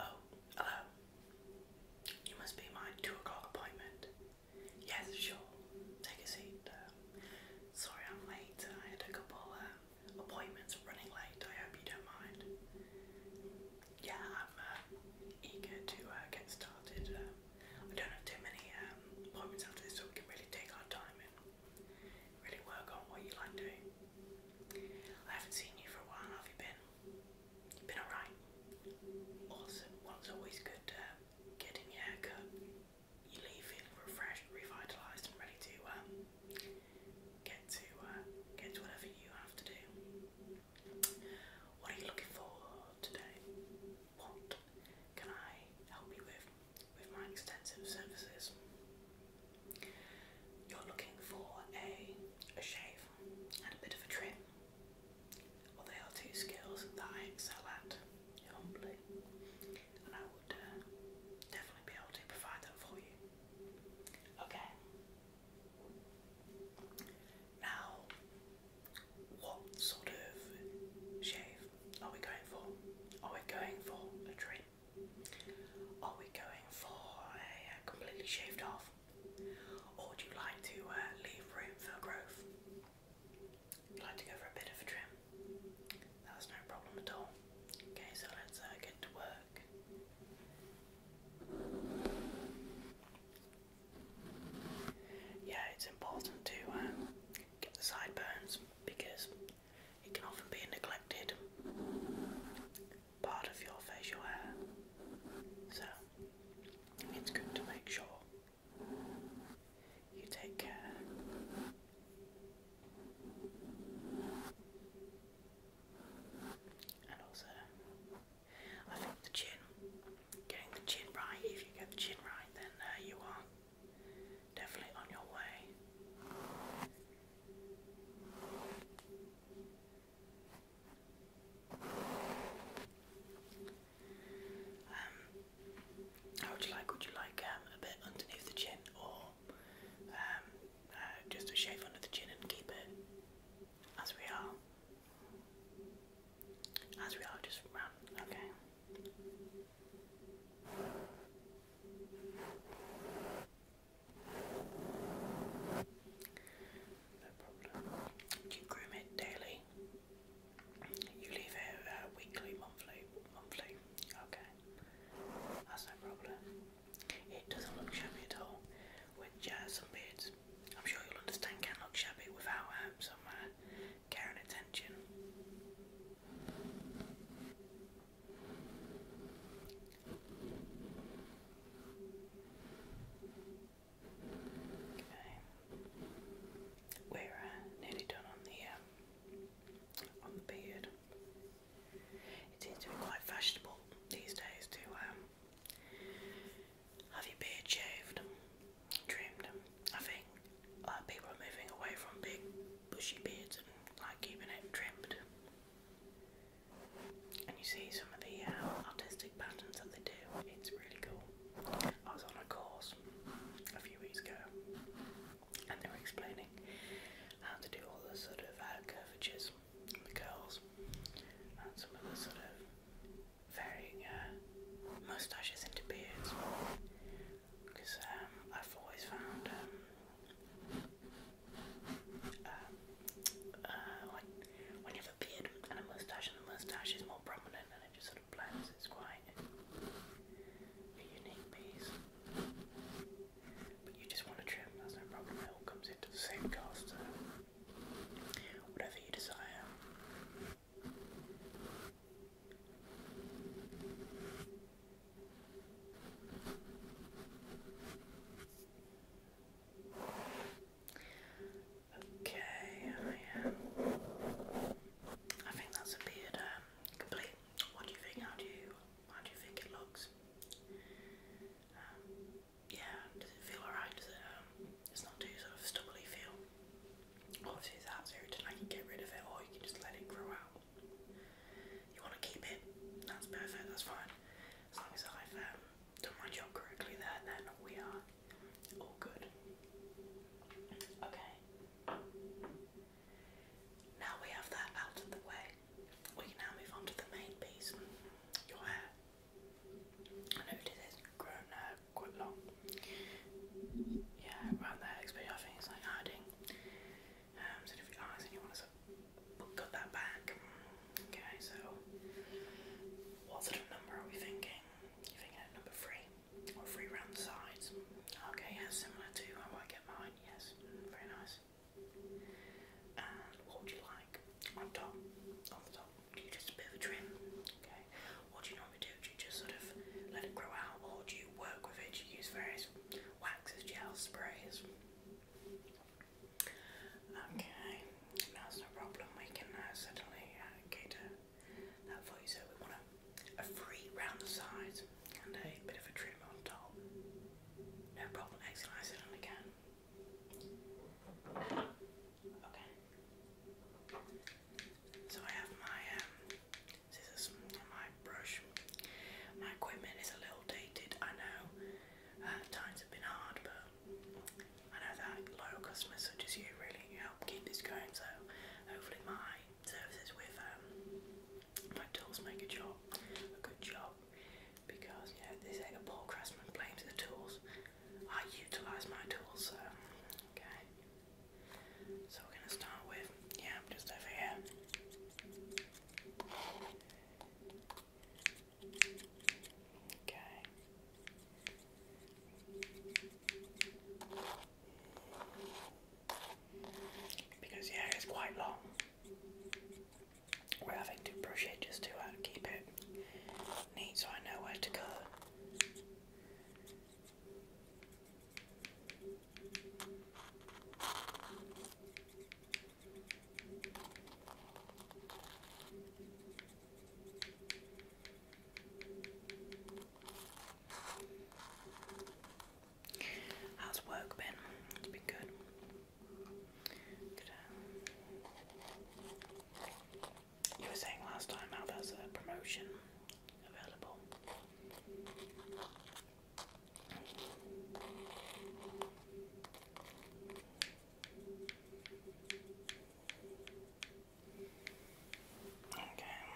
Oh, hello. You must be my two o'clock appointment. Yes, sure. Take a seat. Um, sorry I'm late. I had a couple uh, appointments running late. I hope you don't mind. Yeah, I'm uh, eager to uh, get started. Um, I don't have too many um, appointments after this, so we can really take our time and really work on what you like doing. I haven't seen you for a while. have you been? You've been alright. Awesome. One's always good. Um, getting your haircut, you leave feeling refreshed, revitalised, and ready to um, get to uh, get to whatever you have to do. What are you looking for today? What can I help you with with my extensive services? You're looking for a a shave and a bit of a trim. Well, they are two skills that I excel at humbly, and I would uh, definitely be able to provide that for you. Okay, now, what sort of shave are we going for? Are we going for a trim? Are we going for a uh, completely shaved off? Or would you like to uh, leave room for growth? i like to go for a bit of a trim. That's no problem at all. Okay, so let's uh, get to work. Yeah, it's important to um, get the sideburns because it can often be a neglected part of your facial hair. So it's good to make sure you take care. And also I think the chin, getting the chin right, if you get the chin right, then uh, you are definitely on your way. Um, how would you like? Would you like um, a bit underneath the chin, or um, uh, just a shave under the chin and keep it? As we are. As we are, just round. Okay. No problem. Do you groom it daily? You leave it uh, weekly, monthly, monthly. Okay, that's no problem. It doesn't look shabby at all with jazz and beards. I'm sure you'll understand can look shabby without um, some uh, care and attention. Okay. We're uh, nearly done on the um, on the beard. It to be quite fashionable these days to um, have your beard shaved? Trimmed? I think uh, people are moving away from big bushy beards and like keeping it trimmed. And you see some of the uh, artistic patterns that they do. It's really cool. I was on a course a few weeks ago and they were explaining how to do all the sort of uh, curvatures the curls, and some of the sort of varying uh, moustaches into beards. Because um, I've always found um, uh, uh, when, when you have a beard and a moustache, and the moustache is more prominent, and it just sort of blends, it's quite a unique piece. But you just want to trim, that's no problem. It all comes into the same caster. Whatever you desire. Okay, I, think that's appeared um, complete. What do you think? How do you how do you think it looks? Um, yeah, does it feel alright? Does it, um, it's not too sort of stubbly feel? Obviously it's out and I can get rid of it or you can just let it grow out. You want to keep it? That's perfect, that's fine. As long as I've um, done my job correctly there, then we are all good. Okay. Now we have that out of the way we can now move on to the main piece. Your hair. I noticed it's grown now uh, quite long. Yeah, around there, especially I think it's like hiding. Um, so if you eyes and you want to that back. Okay, so what sort of number are we thinking? You thinking at number three or three round sides? Okay, yeah, similar to how I get mine. Yes, very nice. And what would you like on top? On the top, do you just a bit of trim? Okay. What do you normally do? Do you just sort of let it grow out, or do you work with it? you use various waxes, gels, sprays? Okay, that's no problem. We can uh, certainly uh, cater that for you. we want a, a free round the sides and a bit of a trim on top. No problem, excellent, I sit on Okay. So I have my um, scissors my brush. My equipment is a little dated, I know. Uh, times have been hard, but I know that loyal customers such as you really help keep this going, so hopefully my services with um, McDonald's make a job, a good job, because you know they say a poor craftsman blames the tools. I utilise my tools, so okay. So we're gonna start with yeah, I'm just over here. Okay. Okay because yeah, it's quite long. We're having to brush it just to uh, keep it neat so I know where to go. How's work been? been good. Um, you were saying last time how there's a promotion available. Okay.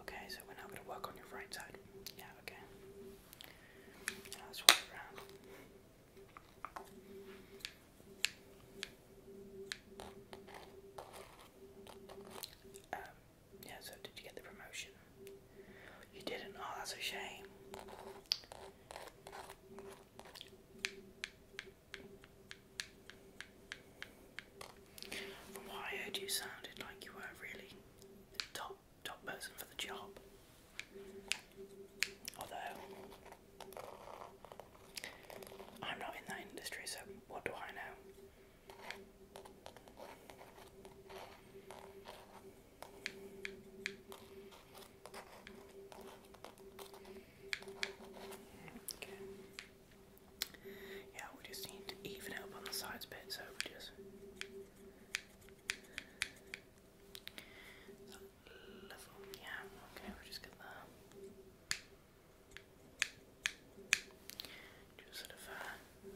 Okay, so we're now going to work on your right side. Yeah, okay. let's walk around. Um, yeah, so did you get the promotion? You didn't? Oh, that's a shame. From what I heard, you sounded like you were really the top top person for the job. Although I'm not in that industry, so what do I know? Yeah, we just need to even it up on the sides a bit, so we just Yeah, okay, we just get that. Just sort of uh,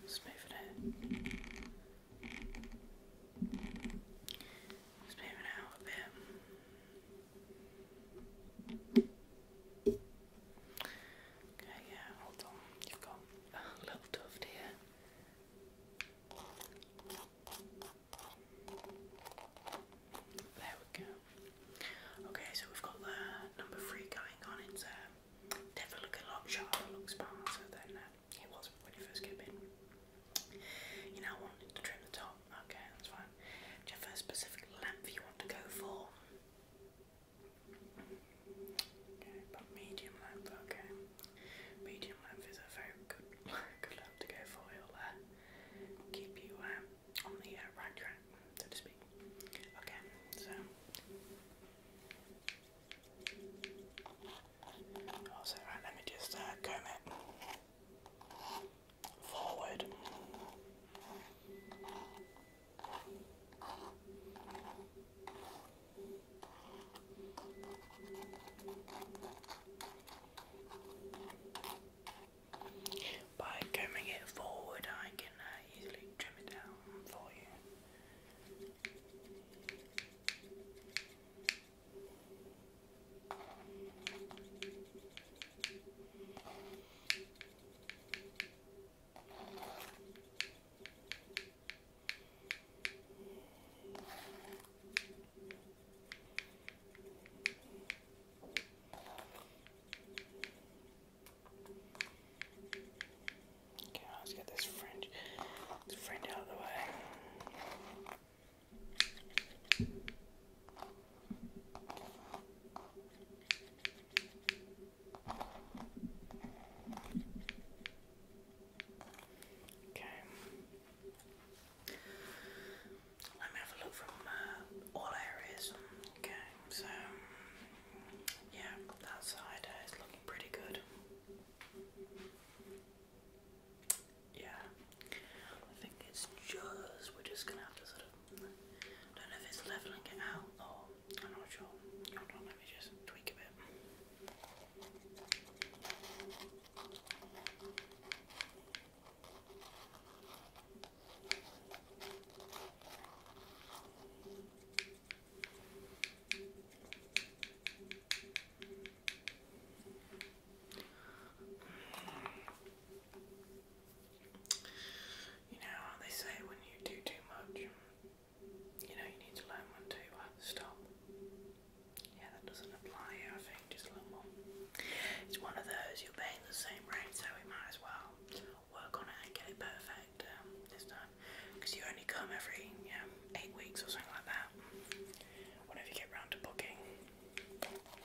smooth it. Smooth it out a bit. Okay, yeah, hold on. You've got a little tuft here. There we go. Okay, so we've got the number three going on. It's uh, definitely look a lot looks sparser than uh, was when you first came in. You now want to trim the top. Oh, okay, that's fine. Do a specific lamp you want to go for? Okay, but medium lamp, okay. Medium lamp is a very good, good lamp to go for. It'll uh, keep you um, on the uh, right track, so to speak. Okay, so. Also, oh, right, let me just uh, it forward. By combing it forward, I can uh, easily trim it down for you. Okay, let's get this fringe, this fringe out of the way. Okay. Let me have a look from uh, all areas. Okay, so yeah, that side is looking pretty good yeah, I think it's just, we're just gonna have to sort of, don't know if it's leveling it out or, I'm not sure, hold just tweak a bit. You know they say when you do too much, you know, you need to learn when to stop. Yeah, that doesn't apply I think, just a little more. It's one of those, you're paying the same rate, so we might as well work on it and get it perfect um, this time. Because you only come every yeah, eight weeks or something like that, whenever you get round to booking.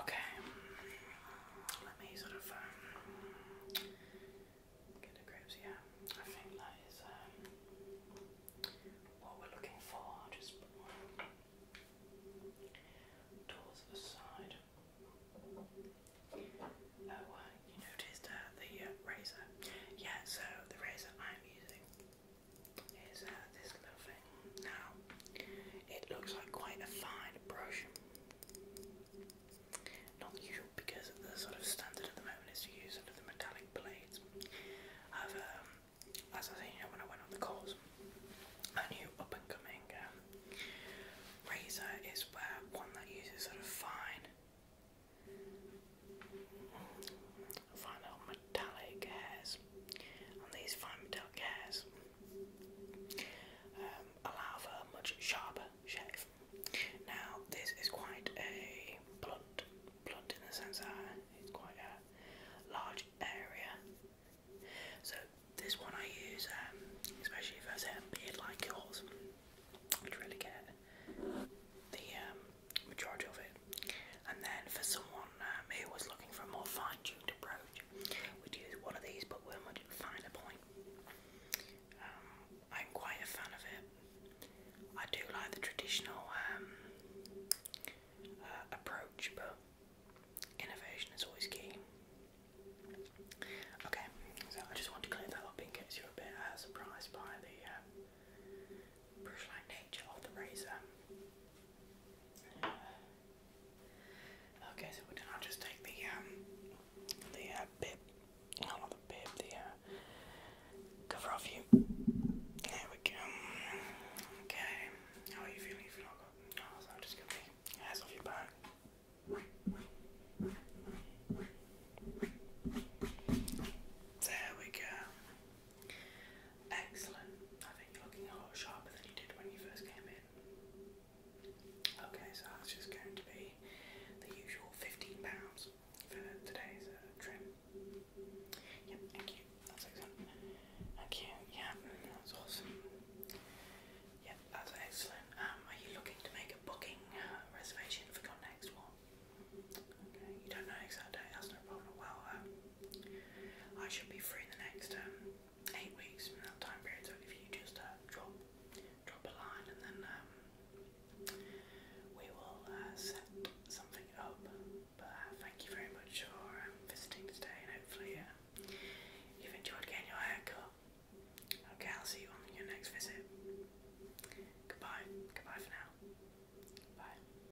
Okay, let me sort of um, get a grips Yeah. I think that is um, what we're looking for. just towards the side. Oh, uh, you noticed uh, the uh, razor. Yeah, so the razor I'm using is uh, this little thing. Now, it looks like quite a fine brush. Not usual because the sort of standard at the moment is to use sort of the metallic blades. i um, as I say, when I went on the course, I knew up and coming um, razor is one that uses sort of fine, fine metallic hairs these fine metallic hairs allow um, for a much sharper shave. Now, this is quite a blunt, blunt in the sense that it's quite a large area. So, this one I use, um, especially if I say a beard like yours, which really get the um, majority of it. And then for someone um, was looking for a more fine-tuned approach would use one of these but with a much finer point. Um, I'm quite a fan of it. I do like the traditional um, uh, approach but innovation is always key. Okay, so I just want to clear that up in case you're a bit uh, surprised by the uh, brush-like nature of the razor. Okay, so we are gonna just take the um the uh bib no not the bib, the uh cover off you. There we go. Okay. How are you feeling if off your back. There we go. Excellent. I think you're looking a lot sharper than you did when you first came in. Okay, so that's just going to be the usual £15 for today's uh, trim. Yep, thank you. That's excellent. Thank you. Yeah, that's awesome. Yep, that's excellent. Um, are you looking to make a booking uh, reservation for your next one? Okay, you don't know exact that's no problem. Well, um, I should be free in the next um, eight weeks from that time period. So if you just uh, drop drop a line, and then um, we will uh, set something up. But uh, thank you very much for um, visiting today, and hopefully you've enjoyed getting your haircut. Okay, I'll see you on your next visit. Goodbye. Goodbye for now. Bye.